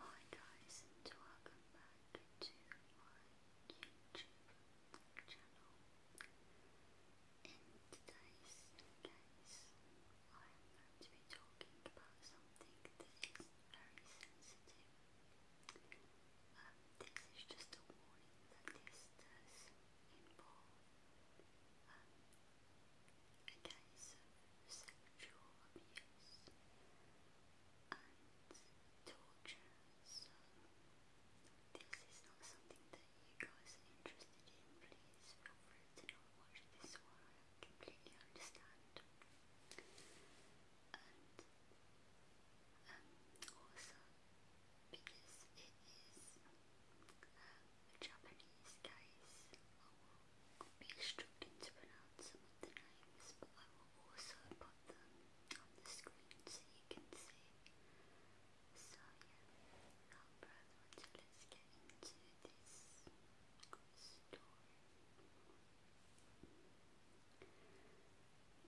Hi guys and welcome back to my YouTube channel. In today's case, I am going to be talking about something that is very sensitive. Um, this is just a warning that this does involve um, it has sexual abuse and torture, this is not something that you guys are interested in. Please feel free to not watch this one, I completely understand. And um, also, because it is a Japanese case, really struggling to pronounce some of the names, but I will also put them on the screen so you can see. So yeah, without further let's get into this story.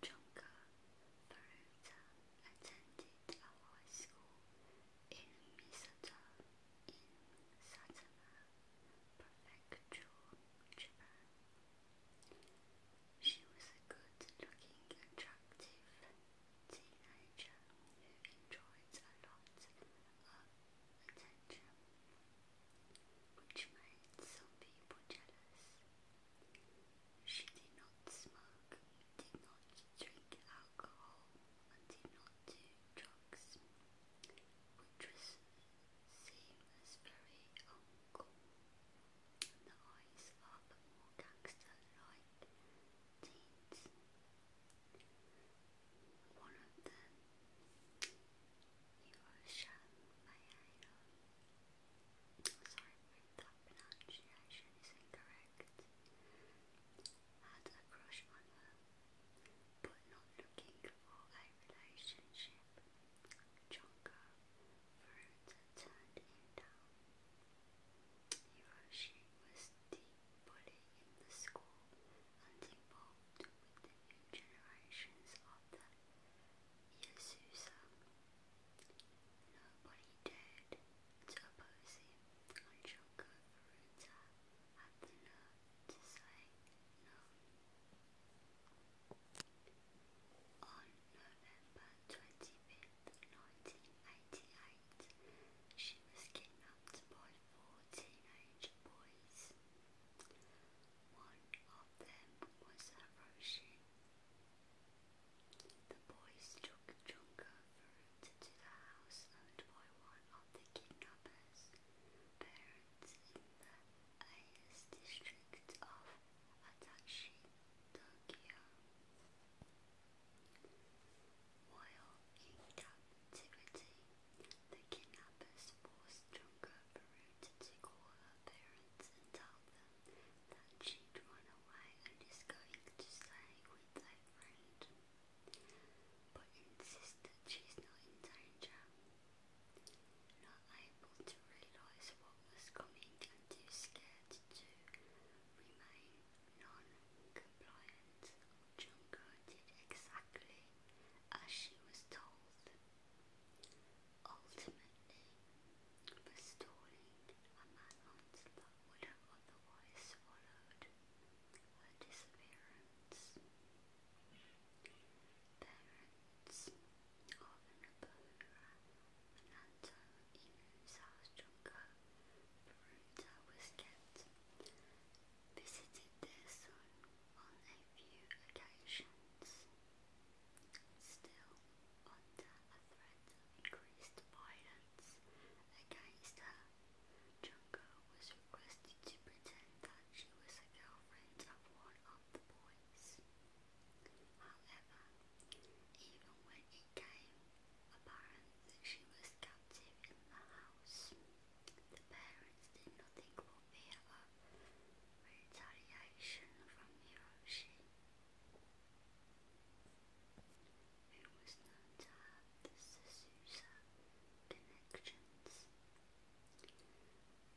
Junka attended a high school in Misata in Saitama Prefecture, She was a good-looking, attractive teenager who enjoyed a lot of attention, which made some people jealous. She did not smoke do not drink alcohol and do not do drugs, which was seen as very uncool the eyes of more gangster-like teens. One of them, Yoroshan Mayano, sorry that pronunciation is incorrect, had a crush on her, but not looking for a relationship. Chonka Fruta turned down. Hiroshi was the in the school and involved with the new generations of the Yasusa. Nobody dared to oppose him, and on November 25th, 1988, she was kidnapped by four teenage boys. One of them was Hiroshi. The boys took Junko to the house owned by one of the kidnappers' parents in the Ayase district of Adachi, Tokyo. While in captivity, the kidnappers forced Junko Peru to call her parents and tell them that she'd run away and is going to stay with outside but insists that she's not in danger. Not able to realise what was coming and too scared to remain non-compliant, Junko did exactly as she was told. Ultimately, restoring a manhunt's life would have otherwise followed her disappearance. Parents of Nobuhara Minato, in whose house was kept, visited their son on a few occasions. Still, under a threat of increased violence efforts against her, was requested to pretend that she was a girlfriend of one of the boys. However, even when it came apparent that she was captive in the house, the parents did nothing for fear of retaliation from Hiroshi. It was known to have the Susa connections.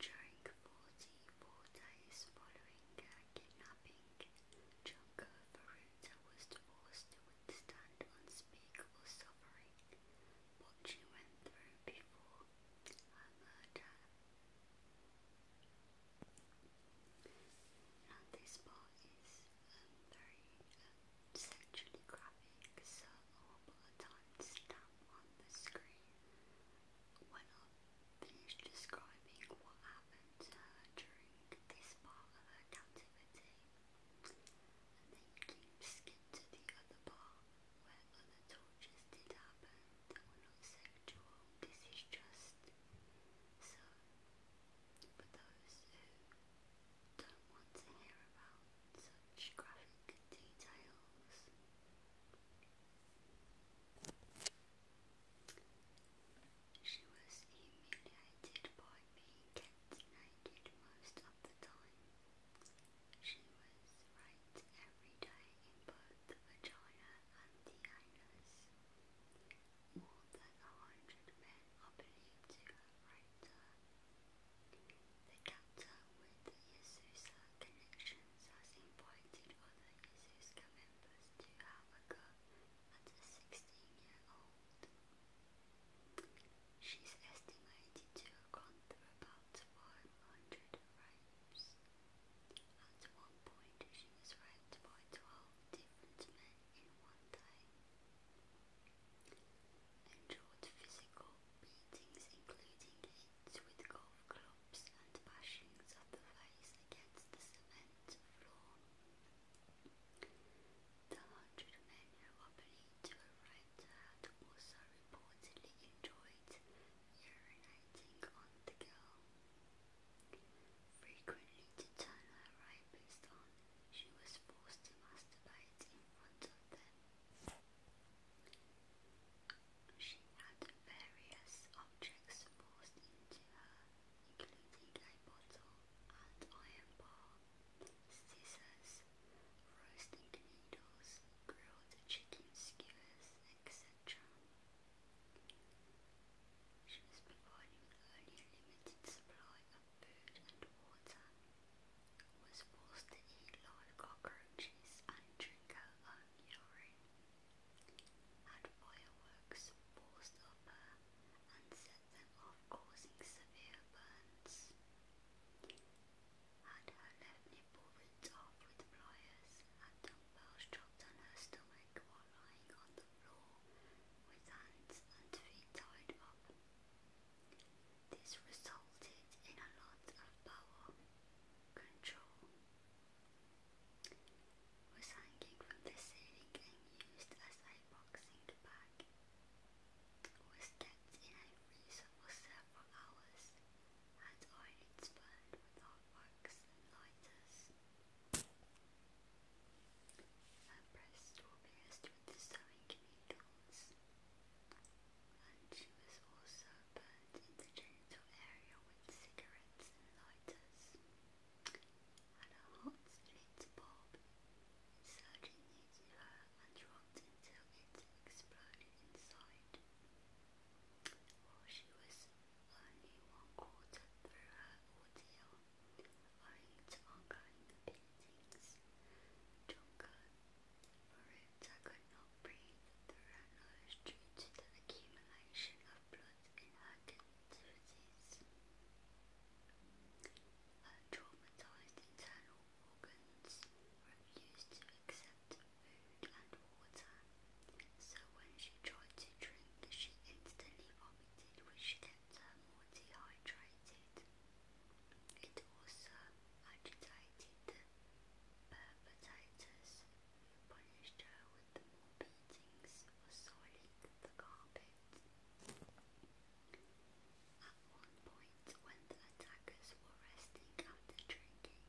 During 44 days following her kidnapping, Junko Varuta was forced to withstand unspeakable suffering what she went through before her murder. Now this part is um, very um, sexually graphic, so I'll put a on the screen when I finish describing what happened during this part of her captivity. And then you skip to the other part where other tortures did happen that were sexual. This is just so, for those who don't want to hear about such graphic details, she was humiliated by me kept naked most of the time. She was raped every day in the vagina and the anus. More than a hundred men are believed to have raped her. The captor with Yasusa connections has invited other Yasuska members to have a go at a 16-year-old. She's estimated to have gone through about 500 rapes. At one point, she was raped by 12 different men in one day. Endured physical beatings, including hits with golf clubs and bashings of the face against the cement floor. The hundred men who are believed to have raped her also reportedly enjoyed urinating on the girl. Frequently to turn her rapist on, she was forced to masturbate in front of them. She had various objects forced into her, including a bottle, and iron bar, scissors, roasting needles, grilled chicken skewers, etc. She was providing only a limited supply of food and water, was forced to eat live cockroaches and drink her own urine, had fireworks forced up her and set them off causing severe burns, had her left people with with pliers and dumbbells dropped on her stomach while lying on the floor with hands and feet tied up. This resulted in a lot of power control was hanging from the ceiling and used as a boxing bag was kept in a freezer for several hours had eyelids burned with hot and lighters. Her breasts pierced with sewing needles, and she was also burned in the genital area with cigarettes and lighters. And her hot slit bulb inserted into her and dropped until it exploded inside or she was only one quarter through her ordeal, owing to ongoing beatings. Junker, Marita could not breathe her nose due to the accumulation of blood in her contusions. Her traumatized internal organs refused to accept so when she tried to drink, she instantly vomited, which kept her more dehydrated. It also agitated the perpetrators, who punished her with more beatings for soiling the carpet. At one point, night, when the attackers were resting after drinking,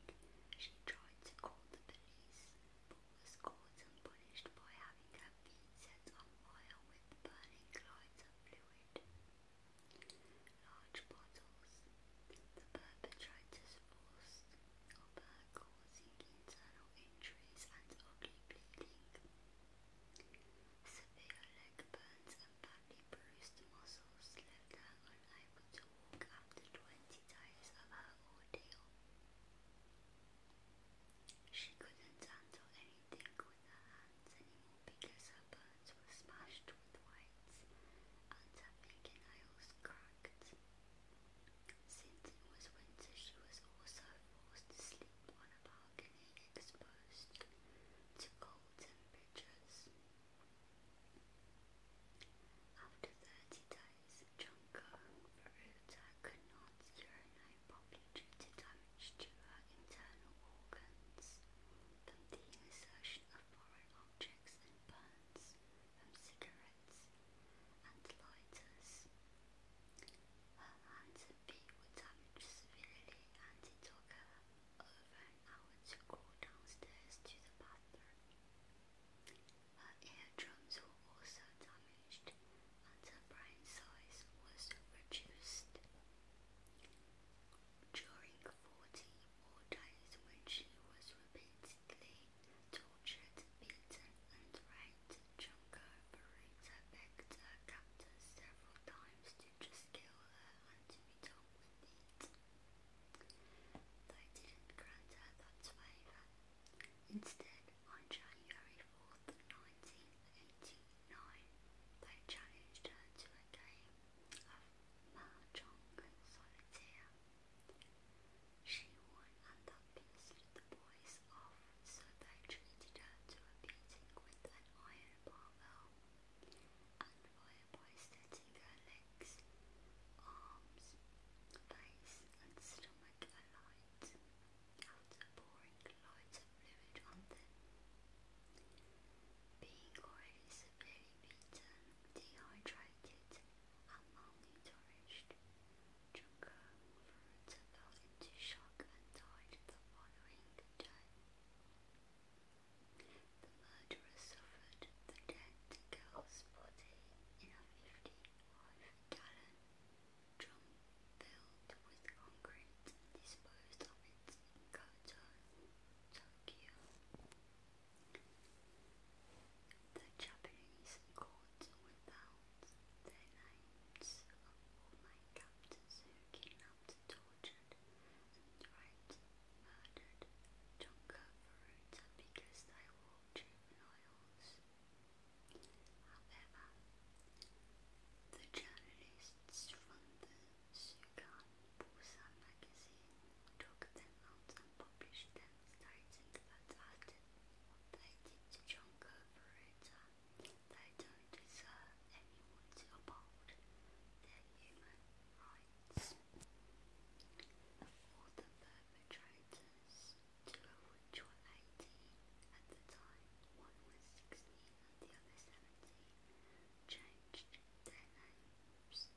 she tried to call the police, but was caught and punished by having her feet set on fire with burning lights of fluid. Large bottles. The perpetrators forced of her causing internal injuries and ugly bleeding. Severe leg burns badly bruised muscles left her unable to walk after 20 days of her ordeal. She couldn't handle anything with her hands anymore because her bones were smashed with weights and her fingernails cracked. Since it was winter, she was also forced to sleep on a park and exposed to cold temperatures. After 30 days, Jungkook Varuta could not urinate properly due to damage to her internal organs from the insertion of foreign objects and burns from cigarettes and lighters. Her hands and feet were damaged severely and it took her over an hour downstairs to the bathroom. Her eardrums were also damaged, and her brain size was reduced. During 40 days, when she was repeatedly tortured, beaten, and raped, Junko Burrito begged her captors several times just kill her and to be with it. Though didn't grant her that favour. Instead, on January 4th, 1989, they challenged her to a game of mahjong solitaire. She won and that pissed the boys off, so they treated her to a beating with an iron barbell. Unviable aesthetic her legs, arms, face and stomach alight after pouring loads of fluid on them. Being already severely beaten, dehydrated and malnourished, Junker Furuta fell into shock and died the following day. The murderer suffered the dead girl's body in a 55-gallon drum filled with concrete and disposed of it in Kyoto, The Japanese court without their names of all my captors who kidnapped, and right the journalists from the Sugan magazine took them out and published them stating that as they did to John Corporator they don't deserve anyone to human rights or the perpetrators, two of which were 18 at the time, one was 16 and the other 17, changed their names.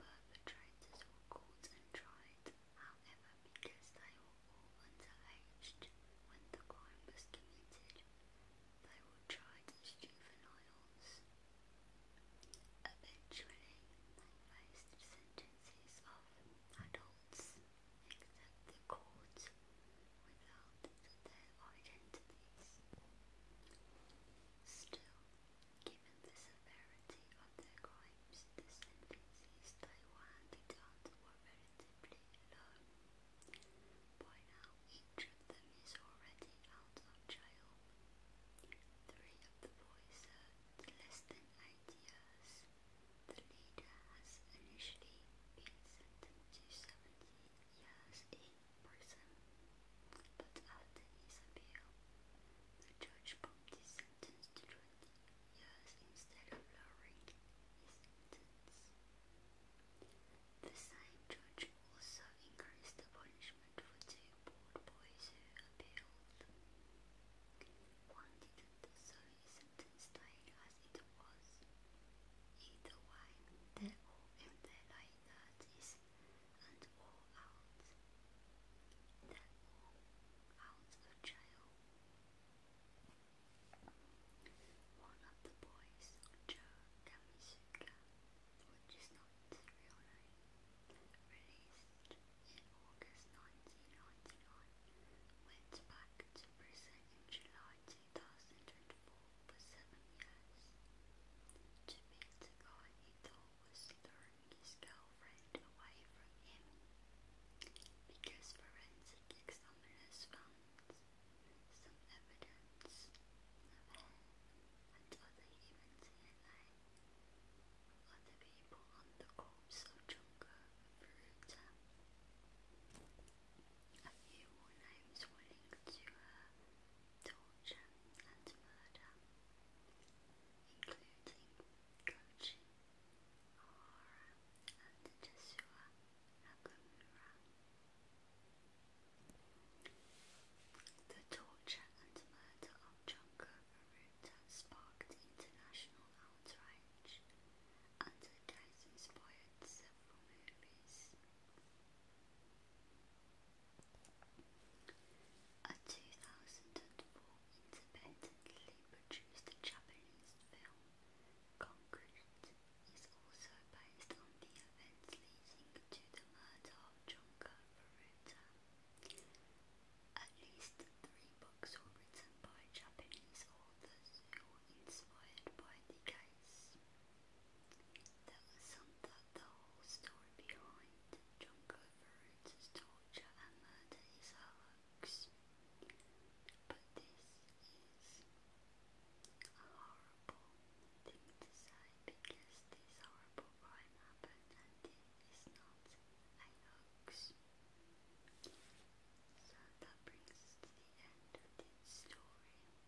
All four perpetrators were caught and tried, however, because they were when the aged, when the crime was committed, they were tried as juveniles. Eventually, they faced sentences of adults, except the court, without their identities. Still, given the severity of their crimes, the sentences they were handed were very relatively low. By now, each of them is already out of jail. Three of the boys are less than eight years. The leader has initially been sentenced to 70 years in prison, but after his appeal, the judge bumped his sentence to 20 Yours, instead The same judge also increased the punishment for two bored boys who appealed. One didn't, so his sentence as it was. Either way, they're all in their late thirties and all out. They're all out of jail. One of the boys, Joe Kamisuka, which is not his real name, released in August 1999, went back to prison in July 2004 for seven years to meet a guy he thought was luring his girl girlfriend away because forensic examiners found some evidence of her and other humans Other people on the corpse of Junko A few names linked to uh, torture and murder, including Kochi the torture and murder of Junko Baruta sparked international outrage, and the inspired several movies. A 2004 independently produced Japanese film, Concrete, is also based on the events leading to the murder of Junko Furuta. At least three books were written by Japanese authors who inspired by the case. There was some that the whole story behind Junko Furuta as torture and murder is a hoax. But this is a horrible thing to say because this horrible crime happened and it is not a hoax. So that brings to the end of this story.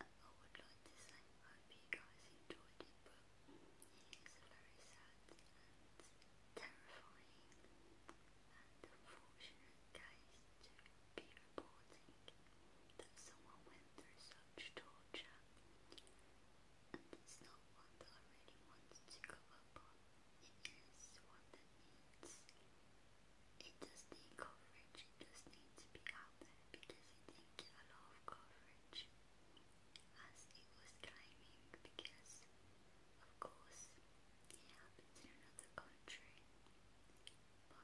I would like to say hope you guys enjoyed it, but it is very sad and terrifying and unfortunate case to be reporting that someone went through such torture and it's not one I really wanted to go up It is one needs, it does need coverage just need to be out there because it did a lot of coverage as was climbing because of course it happens in another country but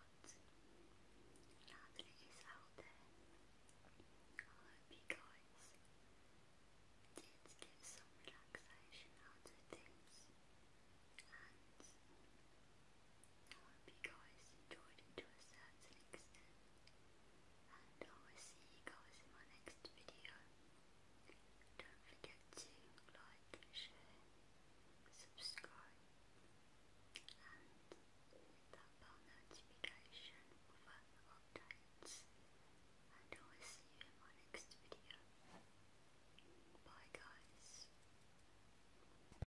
now that it is out there I hope you guys did get some relaxation out of things and I hope you guys enjoyed it to and I will see you guys in my next video. Don't forget to like, share, subscribe, and that bell notification for updates. And I will see you in my next video. Bye, guys.